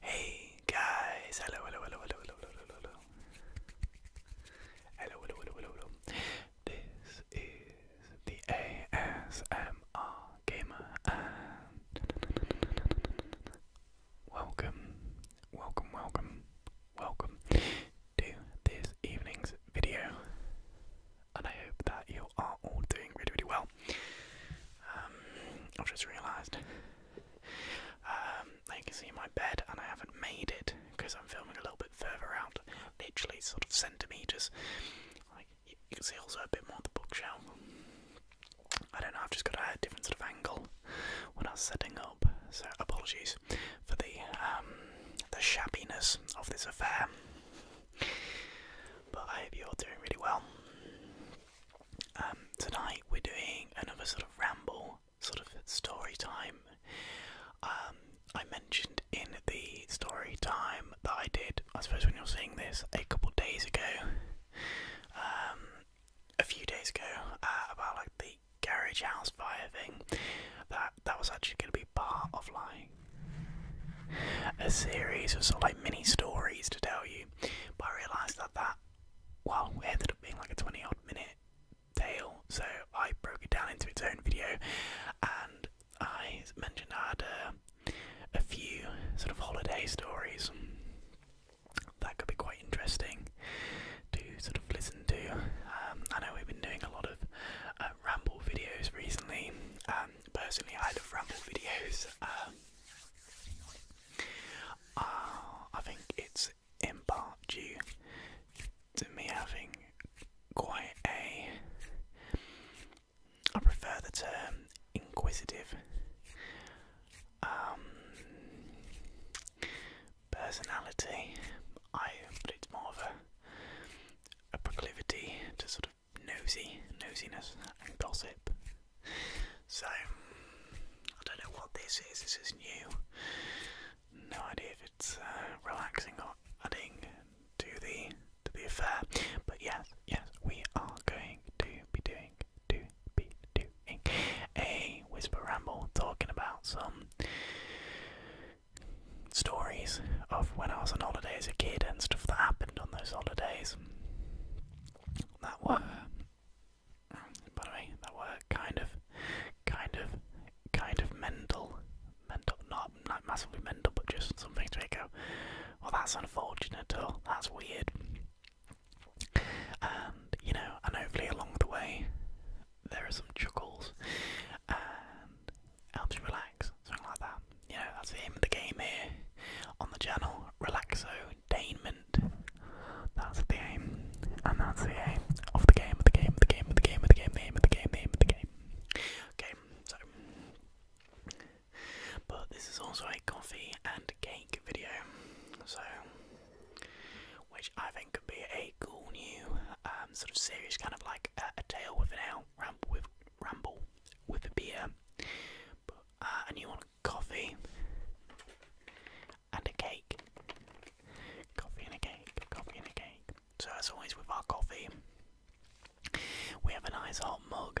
Hey guys, hello, hello, hello, hello, hello, hello, This is the ASMR Gamer, and welcome, welcome, welcome, welcome to this evening's video, and I hope that you are all doing really, really well. Um, I've just realised, um, you can see my bed, and I haven't made it because I'm filming a little bit further out, literally sort of centimetres. you, can see also a bit more of the bookshelf. I don't know, I've just got a different sort of angle when I was setting up, so apologies for the um, the shabbiness of this affair. But I hope you're doing really well. Um, tonight we're doing another sort of ramble, sort of story time. Um, I mentioned in the story time that I did, I suppose when you're seeing this, a couple days ago, um, a few days ago, uh, about like the garage house fire thing. That that was actually going to be part of like a series of sort of like mini stories to tell you, but I realised that that well it ended up being like a twenty odd minute tale, so I broke it down into its own video, and I mentioned I had a few sort of holiday stories that could be quite interesting to sort of listen to. Um, I know we've been doing a lot of uh, ramble videos recently. Um, personally, I love ramble videos. Um, uh, I think it's in due to me having quite a. I prefer the term inquisitive personality. I but it's more of a a proclivity to sort of nosy nosiness and gossip. So I don't know what this is. This is new. No idea if it's uh, relaxing or adding to the to the affair. But yes, yes, we are going to be doing to be doing a whisper ramble talking about some stories of when I was on holiday as a kid and stuff that happened on those holidays. That were, by the way, that were kind of, kind of, kind of mental, mental, not like massively mental, but just something to go. Well, that's unfortunate, or that's weird. And you know, and hopefully along the way, there are some chuckles, helps you relax, something like that. You know, that's the aim of the game here on the channel. Relaxotainment. That's the aim. And that's the aim of the game, of the game, of the game, of the game, of the game, the aim of the game, the aim of the game. Okay, so. But this is also a coffee and cake video, so. Which I think could be a cool new. Uh, um, sort of series, kind of like a, tale with an ale, ramble with, ramble with a beer, but, uh, a coffee, and a cake. Coffee and a cake, coffee and a cake. So as always with our coffee, we have a nice hot mug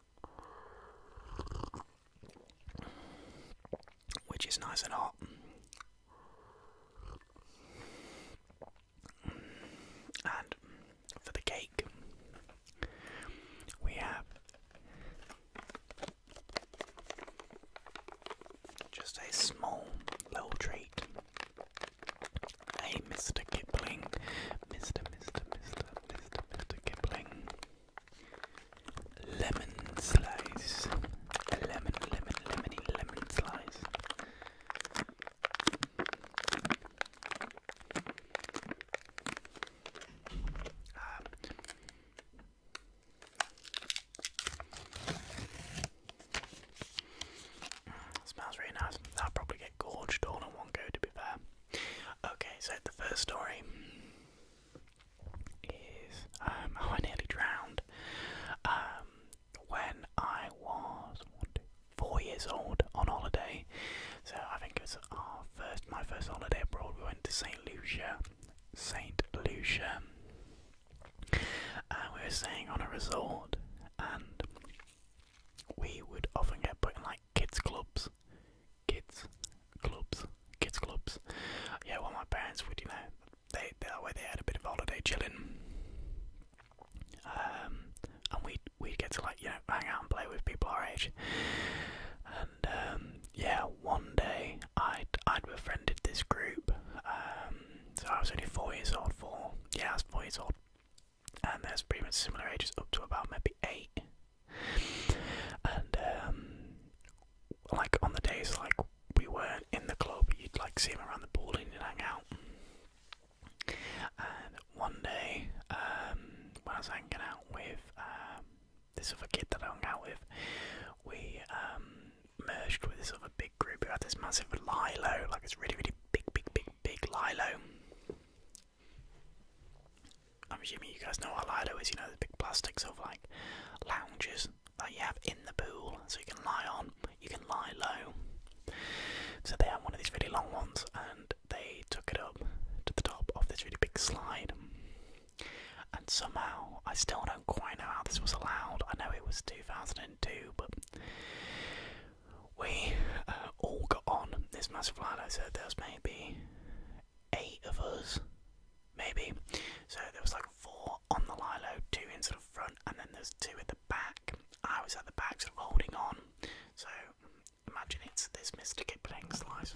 which is nice and hot. And for the cake, we have just a small little treat. A Mr. Kipling, Mr. Mr. Mr. Mr. Mr. Kipling lemon slice, a lemon, lemon, lemony, lemon slice. Ah. smells really nice. I'll probably get gorged all in one go to be fair. Okay, so the first story is um, I nearly drowned. Um, when I was four years old on holiday, so I think it was our first, my first holiday abroad. We went to Saint Lucia, Saint Lucia, and uh, we were staying on a resort, and we would often get put in like kids clubs, kids clubs, kids clubs. Yeah, well, my parents would, you know, they that way they had a bit of holiday chilling, um, and we we get to like you know hang out and play with people our age. And um, yeah, one day I'd I'd befriended this group. Um, so I was only four years old. Four, yeah, I was four years old. And there's pretty much similar ages up to about maybe eight, and um, like on the days like we weren't in the club, you'd like see him around the pool and you'd hang out. And one day, um, when I was hanging out with um, this other kid that I hung out with, we um, merged with this other big group who had this massive lilo, like it's really, really big, big, big, big lilo. I'm assuming you guys know a Lido is, you know, the big plastics of like lounges that you have in the pool, so you can lie on, you can lie low. So they had one of these really long ones and they took it up to the top of this really big slide. And somehow, I still don't quite know how this was allowed. I know it was 2002, but we uh, all got on this massive Lido, so there's maybe eight of us, maybe. So there was like four on the Lilo, two in sort of front, and then there's two at the back. I was at the back, sort of holding on. So imagine it's this Mr. Kipling slice.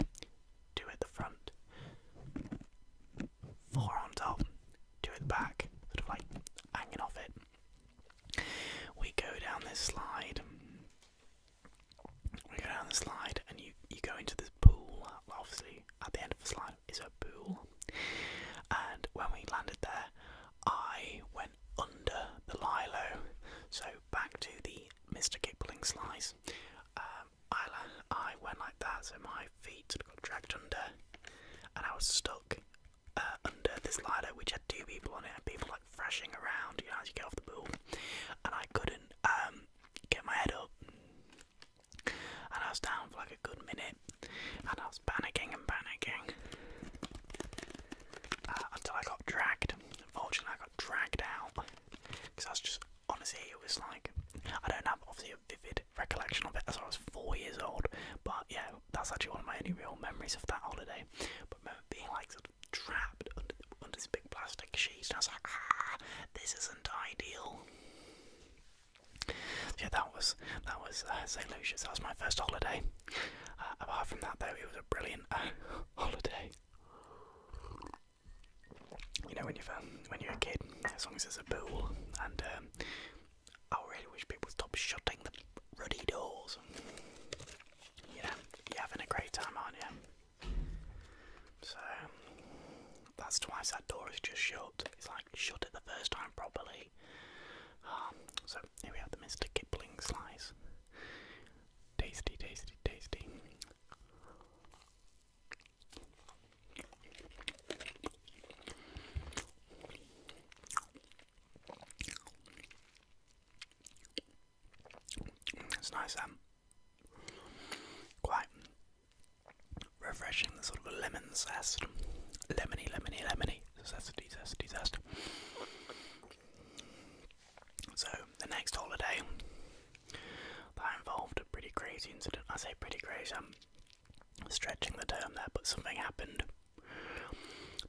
Two at the front, four on top, two at the back, sort of like hanging off it. We go down this slide we go down the slide and you you go into this pool. obviously, at the end of the slide is a pool. And when we landed there, I went under the Lilo. So back to the Mr. Kipling slice. Um, I I went like that, so my feet got dragged under, and I was stuck. Uh, under this lilo, which had two people on it, and people like thrashing around, you know, as you get off the pool, and I couldn't um, get my head up. And I was down for like a good minute, and I was panicking and panicking uh, until I got dragged. Unfortunately, I got dragged out because I was just honestly, it was like I don't have obviously a vivid recollection of it as I was four years old, but yeah, that's actually one of my only real memories of that holiday. But being like trapped under, under this big plastic sheet. And I was like, ah, this isn't ideal. Yeah, that was that was uh, St. Lucia. That was my first holiday. Uh, apart from that, though, it was a brilliant uh, holiday. You know, when you're um, when you're a kid, as long as there's a pool, and um, I really wish people would stop shutting the ruddy doors. You you're having a great time, aren't you? So that's twice that door is just shut. It's like shut it the first time properly. Um, so here we have the Mr. Kipling slice. Tasty, tasty, tasty. It's nice, um, quite refreshing. The sort of lemon zest, lemony, lemony, lemony, zesty, zesty, zest. So the next holiday that involved a pretty crazy incident. I say pretty crazy. i stretching the term there, but something happened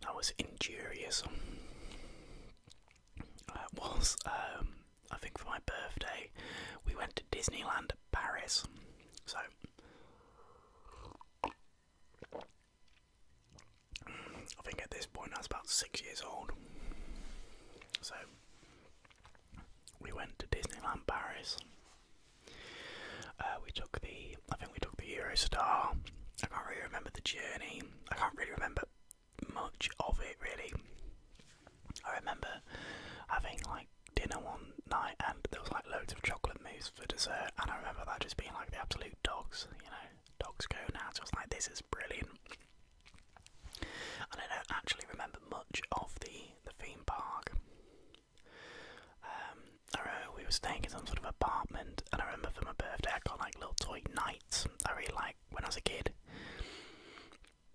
that was injurious. Uh, was um, I think for my birthday we went to Disneyland Paris. So I think at this point I was about six years old. So we went to Disneyland Paris. Uh, we took the I think we took the Eurostar. I can't really remember the journey. I can't really remember much of it really. I remember having like dinner one night and there was like loads of chocolate mousse for dessert and I remember that just being like the absolute dogs, you know, dogs go now. So I was like, this is brilliant. I don't actually remember much of the, the theme park. Um, I remember we were staying in some sort of apartment and I remember for my birthday I got like little toy knights. I really like when I was a kid.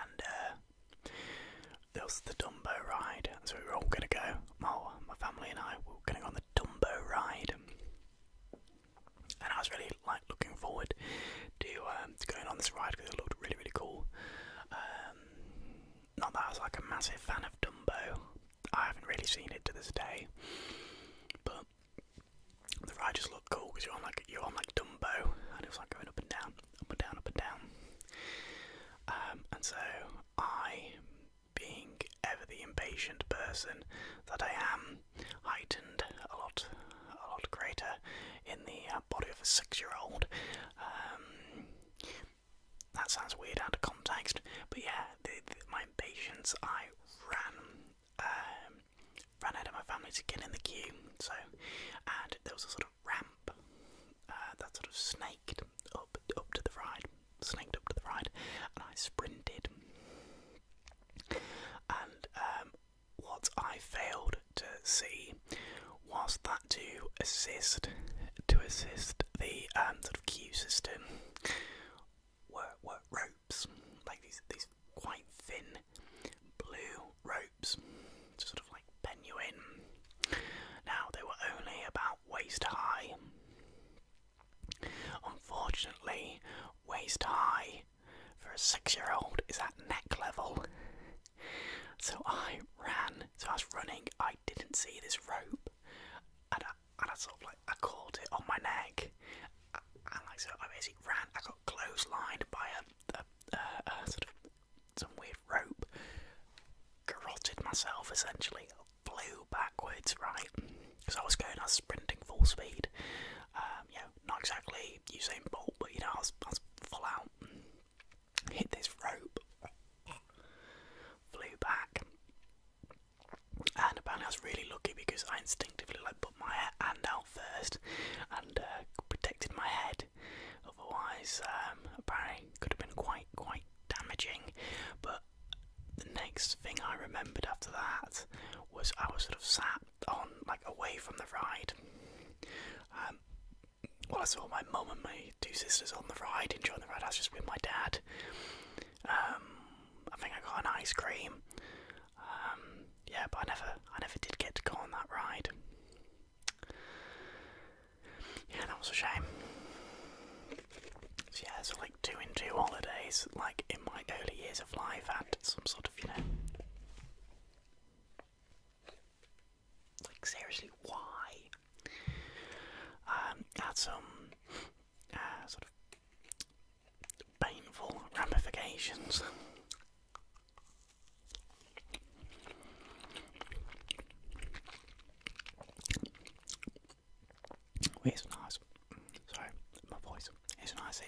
and uh, the Dumbo ride. So we were all gonna go. My my family and I were gonna go on the Dumbo ride, and I was really like looking forward to, um, going on this ride because it looked really really cool. Um, not that I was like a massive fan of Dumbo. I haven't really seen it to this day, but the ride just looked cool because you're on like you're on like Dumbo, and it was like going up and down up and down, up and down. Um, and so I, being ever the impatient person that I am, heightened a lot, a lot greater in the uh, body of a six-year-old. Um, that sounds weird out of context, but yeah, my impatience, I ran. Um, ran out of my family to get in the queue. So, and there was a sort of ramp uh, that sort of snaked up up to the ride, snaked up to the ride, and I sprinted. And um, what I failed to see was that to assist to assist the um, sort of queue system were were ropes like these these quite thin blue ropes ropes to sort of like pen Now, they were only about waist high. Unfortunately, waist high for a six year old is at neck level. So I ran. So I was running, I didn't see this rope, and I, sort of like I caught it on my neck. And like so, I basically ran. I got clotheslined by a sort of some weird rope, garroted myself essentially, flew backwards, right? Because I was going, I was sprinting full speed. Um, yeah, not exactly Usain Bolt, but you know, I was, I was full out. Hit this rope, flew back, and apparently I was really lucky because I instinctively like put my hand out first and uh, protected my head Otherwise, um, apparently could have been quite quite damaging. But the next thing I remembered after that was I was sort of sat on like away from the ride. Um, well, I saw my mum and my two sisters on the ride enjoying the ride. I was just with my dad. Um, I think I got an ice cream. yeah, but I never, I never did get to go on that ride. Yeah, that was a shame. So yeah, so like two in two holidays, like in my early years of life, I had some sort of, you know. Like seriously, why? Um, had some uh, sort of painful ramifications it's nice. Sorry, my voice. It's nice.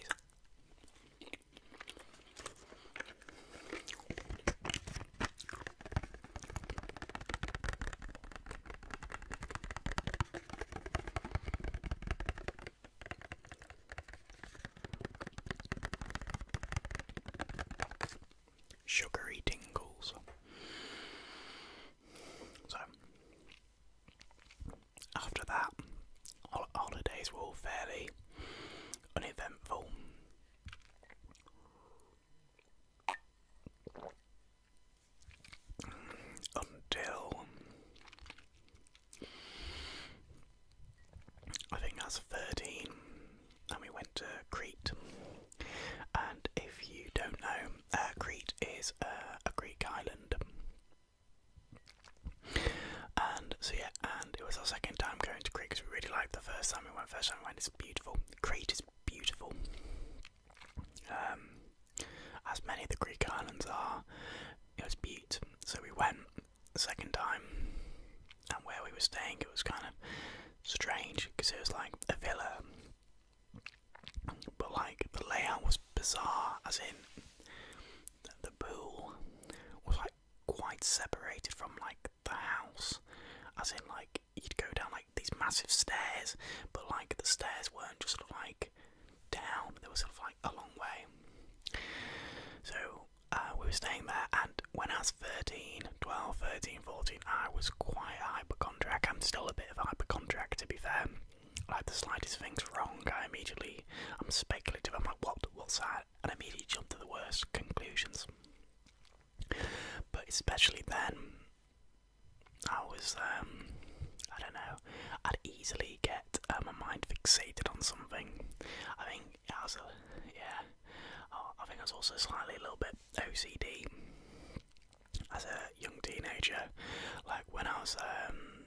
Sugary tingles. So, after that, holidays were fairly uneventful. Until I think that's 13, and we went to Crete. And if you don't know, uh, Crete is uh, a Greek island. And so yeah, and it was our second time going to Crete because we really liked the first time we went. First time we went, it's beautiful. Crete is beautiful, um, as many of the Greek islands are. It was beaut. So we went, the second time, and where we were staying, it was kind of strange because it was like a villa, but like the layout was bizarre, as in the pool was like quite separated from like the house, as in like you'd go down like these massive stairs, but like the stairs weren't just sort of like down, they were sort of like a long way. So uh, we were staying there, and when I was 13, 12, 13, 14, I was quite a hypochondriac. I'm still a bit of a hypochondriac, to be fair. Like the slightest thing's wrong, I immediately, I'm speculative. I'm like, what? What's that? And I immediately jump to the worst conclusions. But especially then, I was, um, I don't know, I'd easily get um, my mind fixated on something. I think I was, a, yeah, Oh, I think I was also slightly a little bit OCD as a young teenager. Like when I was um,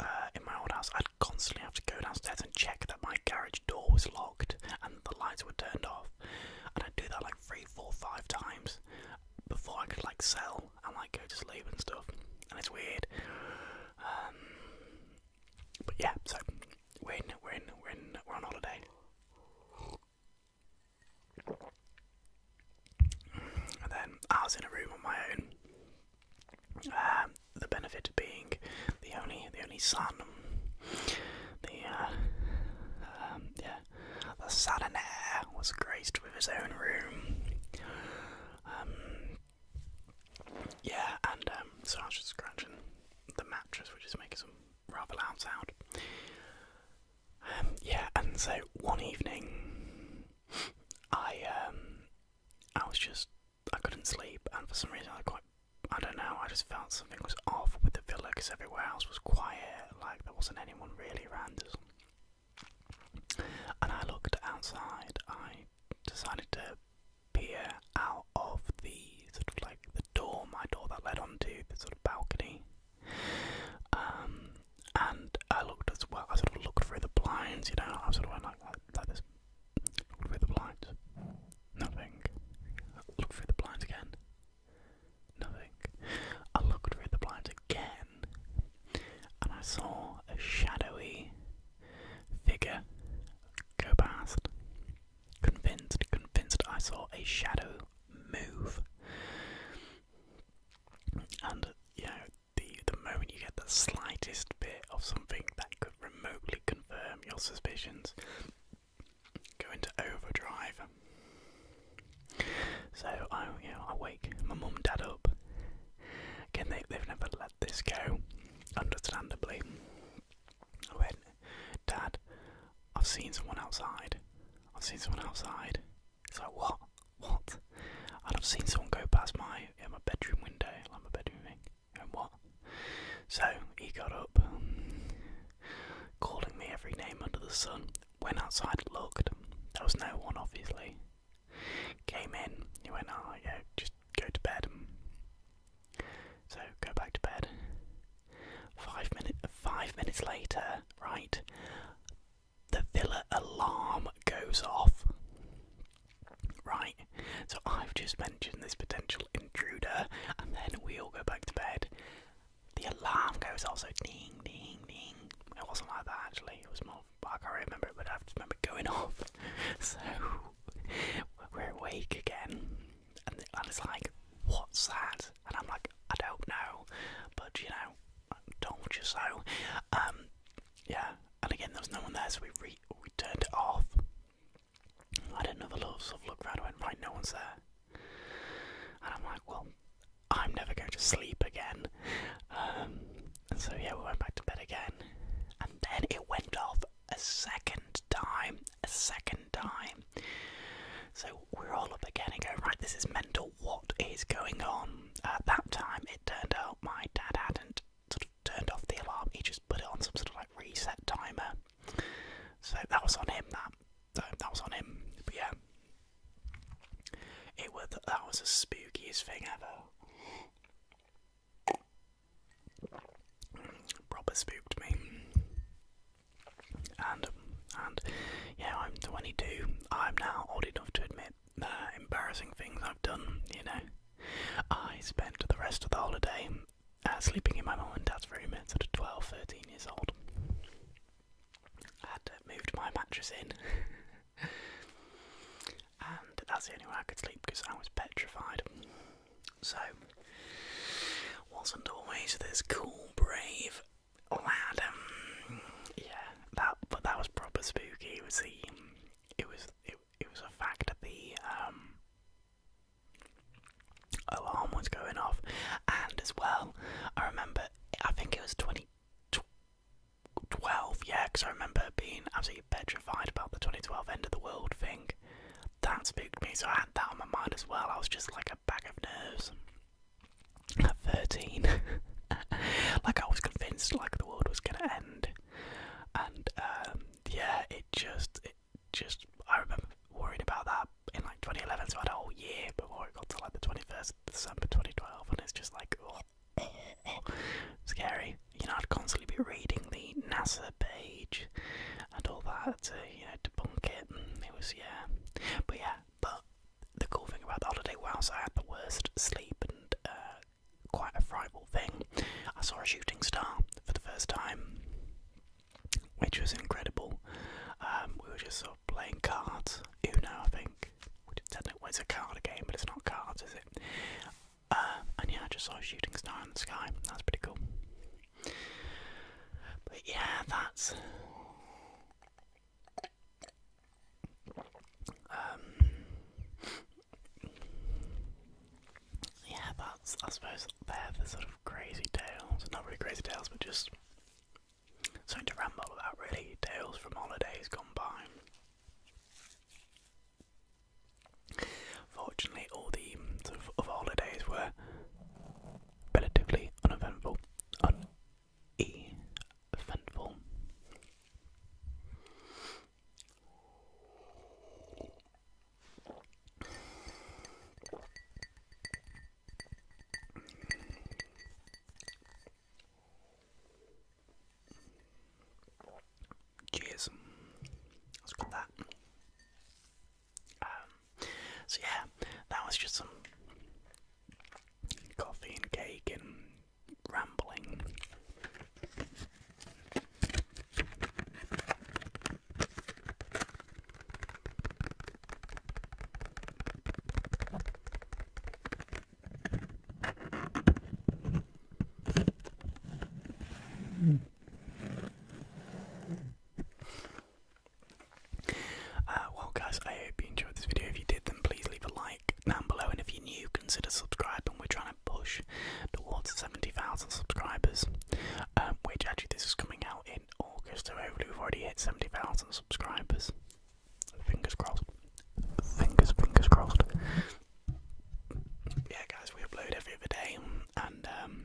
uh, in my old house, I'd constantly have to go downstairs and check that my garage door was locked and the lights were turned off. And I'd do that like three, four, five times before I could like sell and like go to sleep and stuff. And it's weird. Um, but yeah, so when when when we're on holiday. And then I was in a room on my own. Uh, the benefit being the only the only son, the uh, um, yeah, the son and heir was graced with his own room. Um, yeah, and um, so I was just scratching the mattress, which is making some rather loud sound. Um, yeah, and so one evening, I um, I was just I couldn't sleep, and for some reason I quite I don't know I just felt something was off with the villa because everywhere else was quiet, like there wasn't anyone really around us. And I looked outside. I decided to peer out of the sort of like the door, my door that led onto the sort of balcony. Um, and I looked as well. I sort of looked through the blinds, you know. I sort of went like like, this. Looked through the blinds. Nothing. Look through the blinds again. Nothing. I looked through the blinds again, and I saw a shadowy figure go past. Convinced, convinced I saw a shadow move. And you know, the the moment you get the slightest bit of something that could remotely confirm your suspicions, go into overdrive. So I you I wake my mum and dad up. Again they they've never let this go, understandably. I went, Dad, I've seen someone outside. I've seen someone outside. It's like, what? What? And I've seen someone go past my yeah, my bedroom window, like my bedroom thing. And what? So he got up, um, calling me every name under the sun. Went outside, looked. There was no one, obviously. Came in. He went, oh yeah, just go to bed. So go back to bed. Five minute five minutes later, right, the villa alarm goes off. Right. So I've just mentioned this potential intruder and then we all go back to bed. The alarm goes off so ding ding ding. It wasn't like that actually, it was more I can't remember it but I just remember going off. So we're awake again and, the, and it's like, what's that? And I'm like, I don't know, but you know, I told you so. Um, yeah, and again, there was no one there, so we we turned it off. I did not another little sort of look around. I went, right, no one's there, and I'm like, well, I'm never going to sleep again. Um, so yeah, we went back to bed again, and then it went off a second time, a second time. So we're all up again and going, right, this is mental, what is going on? At uh, that time, it turned out my dad hadn't sort of turned off the alarm, he just put it on some sort of like reset timer. So that was on him, that. that was on him, but yeah. It was that was the spookiest thing ever proper spooked me. And and yeah, I'm 22. I'm now old enough to admit embarrassing things I've done. You know, I spent the rest of the holiday uh, sleeping in my mum and dad's room at sort of 12, 13 years old. I had moved my mattress in. and that's the only way I could sleep because I was petrified. So, wasn't always this cool, brave lad. Um, yeah, that but that was proper spooky. It was the, it was it, it was a fact that the um, alarm was going off, and as well, I remember I think it was twenty. 12, yeah, because I remember being absolutely petrified about the 2012 end of the world thing that spooked me, so I had that on my mind as well. I was just like a bag of nerves at 13. like, I was convinced like the world was gonna end, and um, yeah, it just, it just, I remember worried about that in like 2011, so I had a whole year before it got to like the 21st December 2012, and it's just like, oh, scary. You know, I'd constantly be reading the NASA page and all that you know debunk it. And it was yeah, but yeah, but the cool thing about the holiday, whilst I had the worst sleep and uh, quite a frightful thing, I saw a shooting star for the first time, which was incredible. Um, we were just sort of playing cards, Uno, I think. We didn't know it's a card game, but it's not cards, is it? Uh, and yeah, I just saw a shooting star in the sky. That's pretty cool. But yeah, that's um, yeah, that's I suppose they're the sort of crazy tales. Not really crazy tales, but just something to ramble about really. Tales from holidays gone by. Fortunately, all the mm, sort of, of holidays were relatively uneventful. Uneventful. Cheers. Let's got that. Um, so yeah, that was just some coffee and cake and rambling. Hmm. Uh, well, guys, I hope you enjoyed this video. If you did, then please leave a like down below. And if you're new, consider subscribing. We're trying to push towards 70,000 subscribers, um, which actually this is coming out in August. So hopefully, we've already hit 70,000 subscribers. Fingers crossed. Fingers, fingers crossed. Yeah, guys, we upload every other day, and um,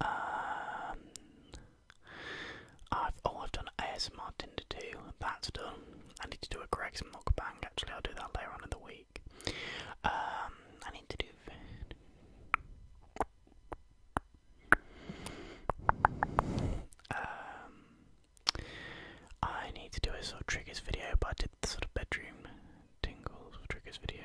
Um, I've oh I've done ASMR Tinder too. That's done. I need to do a Greg's mukbang. Actually, I'll do that later on in the week. Um, I need to do. Um, I need to do a sort of triggers video, but I did the sort of bedroom tingles triggers video.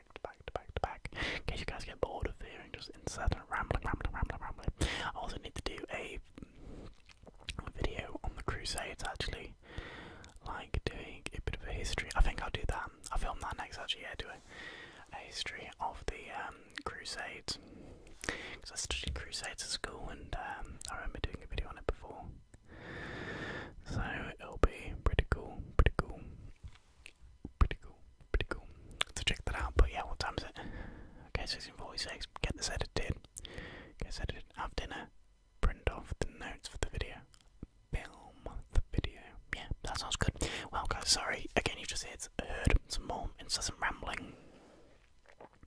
back to back to back to back. In case you guys get bored of hearing just incessant rambling, rambling, rambling, rambling. I also need to do a video on the Crusades actually. Like doing a bit of a history. I think I'll do that. I'll film that next actually, yeah, do A history of the um, Crusades. Because I studied Crusades at school and um, I remember doing a video on it before. So it'll be pretty cool, pretty cool. Pretty cool, pretty cool. So check that out. But yeah, what time is it? Okay, 1646. Get this edited. Get this edited. Have dinner. Print off the notes for the video. Film the video. Yeah, that sounds good. Well, guys, sorry. Again, you just heard some more incessant rambling.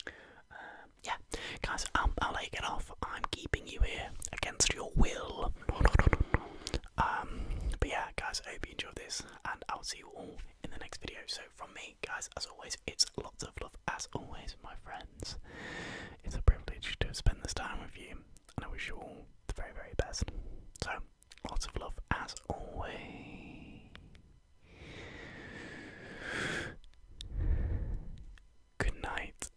Um, yeah, guys, I'll, um, I'll let you off. I'm keeping you here against your will. Um, but yeah, guys, I hope you enjoyed this, and I'll see you all in the next video. So, from me, guys, as always, it's lots of love, as always, my friends. It's a privilege to spend this time with you, and I wish you all the very, very best. So, lots of love, as always. Good night.